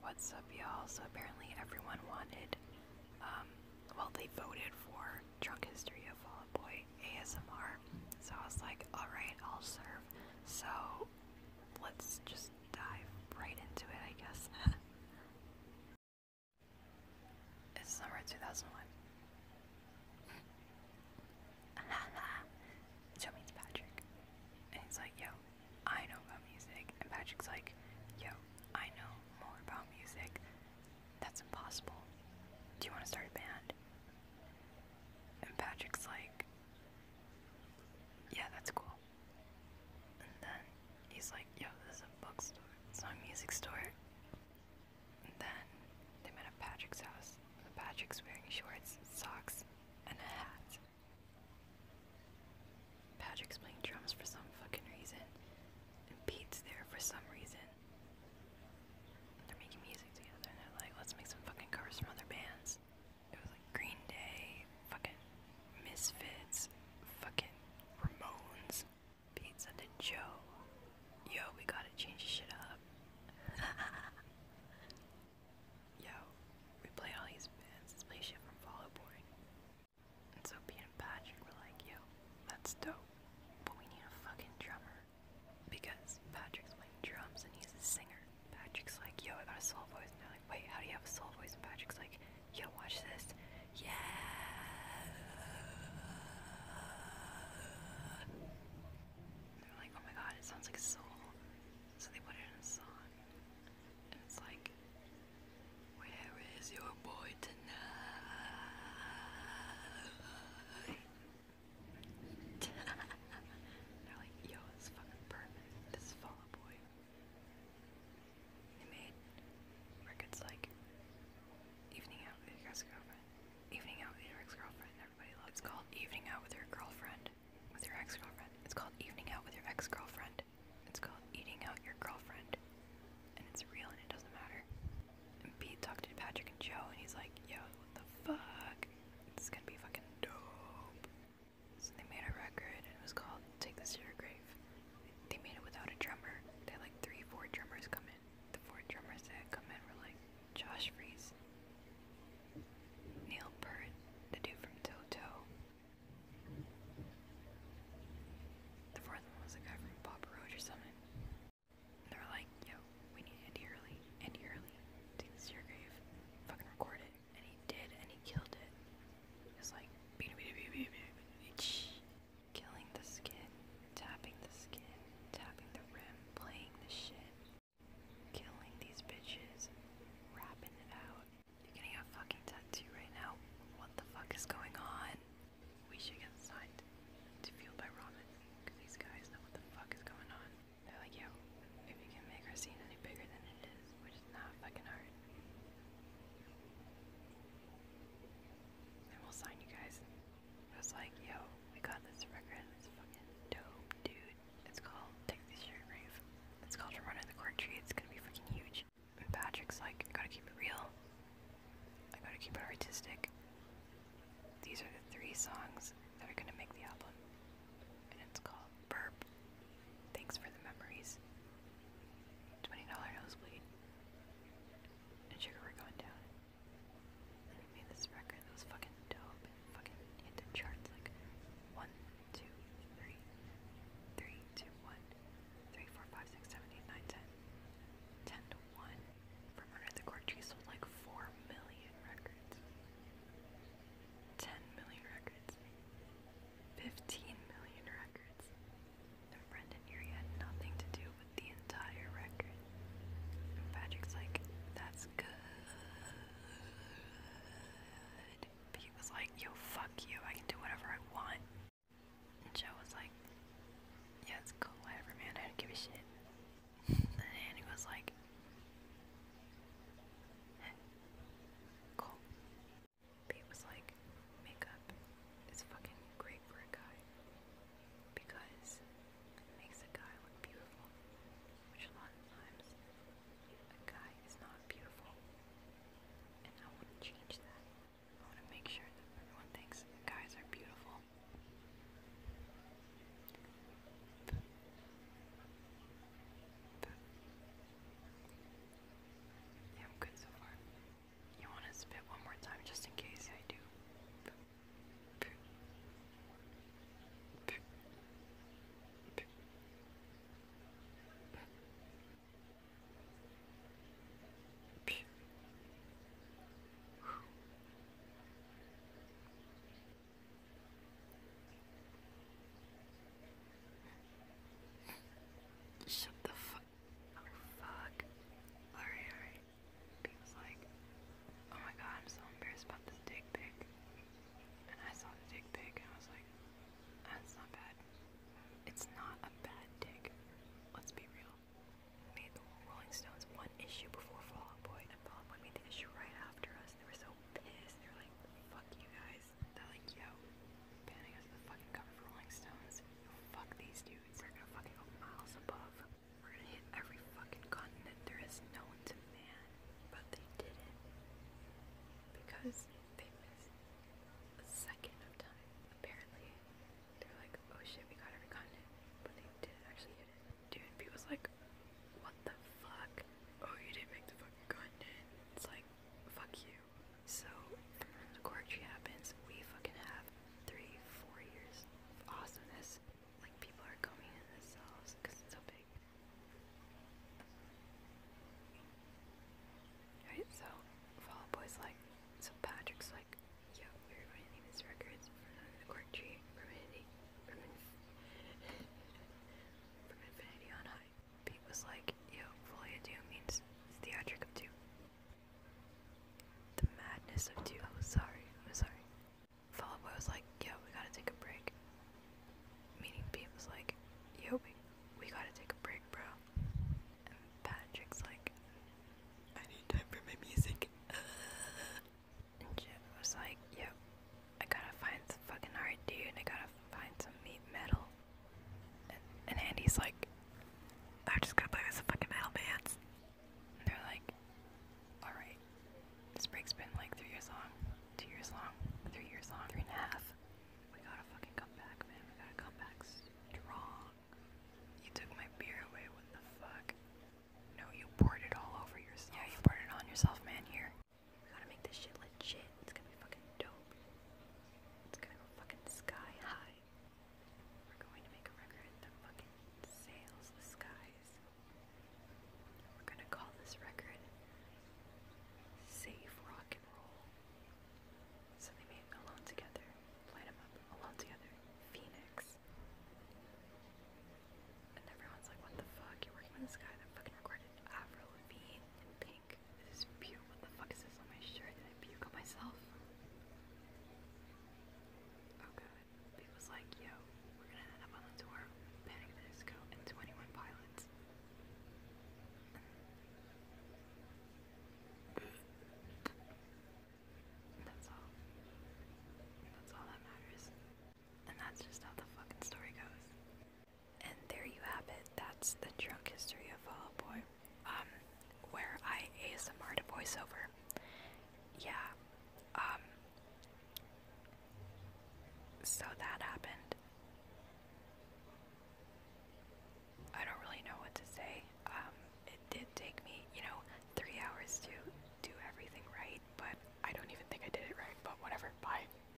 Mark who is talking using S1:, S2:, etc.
S1: What's up, y'all? So apparently everyone wanted, um, well, they voted for Trunk History of Fall Boy ASMR. So I was like, alright, I'll serve. So let's just dive right into it, I guess. it's summer 2001. Joe Patrick. And he's like, yo, I know about music. And Patrick's like, yo, I know more about music. That's impossible. Do you want to start a band? And Patrick's like, yeah, that's cool. And then he's like, yo, this is a bookstore. It's not a music store. And then they met at Patrick's house. Patrick's wearing shorts, socks, and a hat. Patrick's playing drums for some fucking reason, and Pete's there for some reason. They're making music together, and they're like, let's make some fucking covers from other bands. It was like Green Day, fucking Misfits, fucking Ramones. Pete said to Joe, yo, we gotta change this shit up. Yo, we play all these bands, this play shit from Fall Out And so Pete and Patrick were like, yo, that's dope, but we need a fucking drummer. Because Patrick's playing drums and he's a singer. Patrick's like, yo, I got a soul voice. And they're like, wait, how do you have a soul voice? And Patrick's like, yo, watch this. Yeah! they're like, oh my god, it sounds like soul. So they put it in a song. And it's like, Where is your boy tonight? They're like, Yo, it's fucking perfect. This is Fall Boy. They made records like Evening Out with Your Ex Girlfriend. Evening Out with Your Ex Girlfriend. Everybody loves it. Evening Out with Your Girlfriend with your ex-girlfriend. It's called evening out with your ex-girlfriend. It's called eating out your girlfriend. And it's real and it doesn't matter. And Pete talked to Patrick and Joe and he's like, yo, what the fuck? It's gonna be fucking dope. So they made a record and it was called Take This to Your Grave. They made it without a drummer. They had like three, four drummers come in. The four drummers that had come in were like Josh Freese, Neil Peart, the dude from Toto. The fourth one was a guy from Papa Roach or something. they were like, yo, we need Andy Early. Andy Early, take this Fucking record it. And he did, and he killed it. It was like, killing the skin, tapping the skin, tapping the rim, playing the shit. Killing these bitches. Rapping it out. You're getting a fucking tattoo right now. What the fuck is going on? We should get signed to Fueled by Ramen. these guys know what the fuck is going on. They're like, yo, if you can make our scene any bigger than it is, which is not fucking hard. And we'll sign you guys. I was like, yo, we got this record, it's fucking dope, dude. It's called Take This It's called From the Corn Tree, it's gonna be fucking huge. And Patrick's like, I gotta keep it real. I gotta keep it artistic. These are the three songs that are gonna make the album. And it's called Burp. Thanks for the memories. $20 nosebleed. And sugar we're going down. And I made this record that was fucking dope fucking hit the charts like one, two, three, three, two, one, three, four, five, six, seven, eight, nine, ten, ten to 1 from under the cork tree sold like 4 million records. 10 million records. 15 million records. And Brent and Erie had nothing to do with the entire record. Patrick's like, that's good. He was like, yo, fuck you, I can do whatever I want. Joe was like, yeah, it's cool, whatever, man, I don't give a shit. and he was like, cool. Pete was like, makeup is fucking great for a guy because it makes a guy look beautiful, which a lot of times a guy is not beautiful, and I want to change that. I want to make sure that everyone thinks guys are beautiful. yeah, I'm good so far. You want to spit one more time just in case I do. Shut the fuck Fuck. Alright, alright. He like, oh my god, I'm so embarrassed about this dick pic. And I saw the dick pic and I was like, that's not bad. It's not a bad dick. Let's be real. Made the Rolling Stones one issue before Fall Out Boy, and Fall Out Boy made the issue right after us. They were so pissed. They were like, fuck you guys. They're like, yo, banning us the fucking cover for Rolling Stones. fuck these dudes. We're gonna fucking miles above. We're gonna hit every fucking continent there is known to man. But they didn't. Because they missed a second time. Apparently, they're like, oh shit, we got every continent. But they didn't actually do. it. Dude, people's like, what the fuck? Oh, you didn't make the fucking continent. It's like, fuck you. So, the then Tree happens, we fucking have three, four years of awesomeness. Like, people are coming in the themselves because it's so big. Alright, so, Fall Boy's like, so Patrick's like, yo, we name these records from the Gorgie, from from, inf from Infinity on High. Pete was like, yo, Folia 2 means it's 2. The madness of two. I was sorry. I was sorry. Fall Boy was like, yo, we gotta take a break. Meaning Beam was like, yo, we, we gotta take a break, bro. And Patrick's like, I need time for my music. and Jim was like, yo, I gotta find some fucking art, dude. I gotta find some meat metal. And Andy's like, i just got to play with some fucking metal bands. they're like, alright. This break's been like three years long, two years long, three years long, three and a half. We gotta fucking come back, man. We gotta come back strong. You took my beer away, what the fuck? No, you poured it all over yourself. Yeah, you poured it on yourself, man. Here. We gotta make this shit legit. It's gonna be fucking dope. It's gonna go fucking sky high. We're going to make a record that fucking sails the skies. We're gonna call this record Safe Rock and Roll. So they made Alone Together, Light 'em Up, Alone Together, Phoenix. And everyone's like, what the fuck? You're working with this guy that fucking recorded Avril Lavigne and Pink this is puke. What the fuck is this on my shirt? Did I puke myself? Oh god. They was like, yo, we're gonna end up on the tour of Disco and 21 Pilots. that's all. That's all that matters. And that's just how the fucking story goes. And there you have it. That's the drunk history of Fall Boy. Um, where I ASMR to voiceover. Yeah. Um, so that happened. I don't really know what to say. Um, it did take me, you know, three hours to do everything right, but I don't even think I did it right, but whatever. Bye.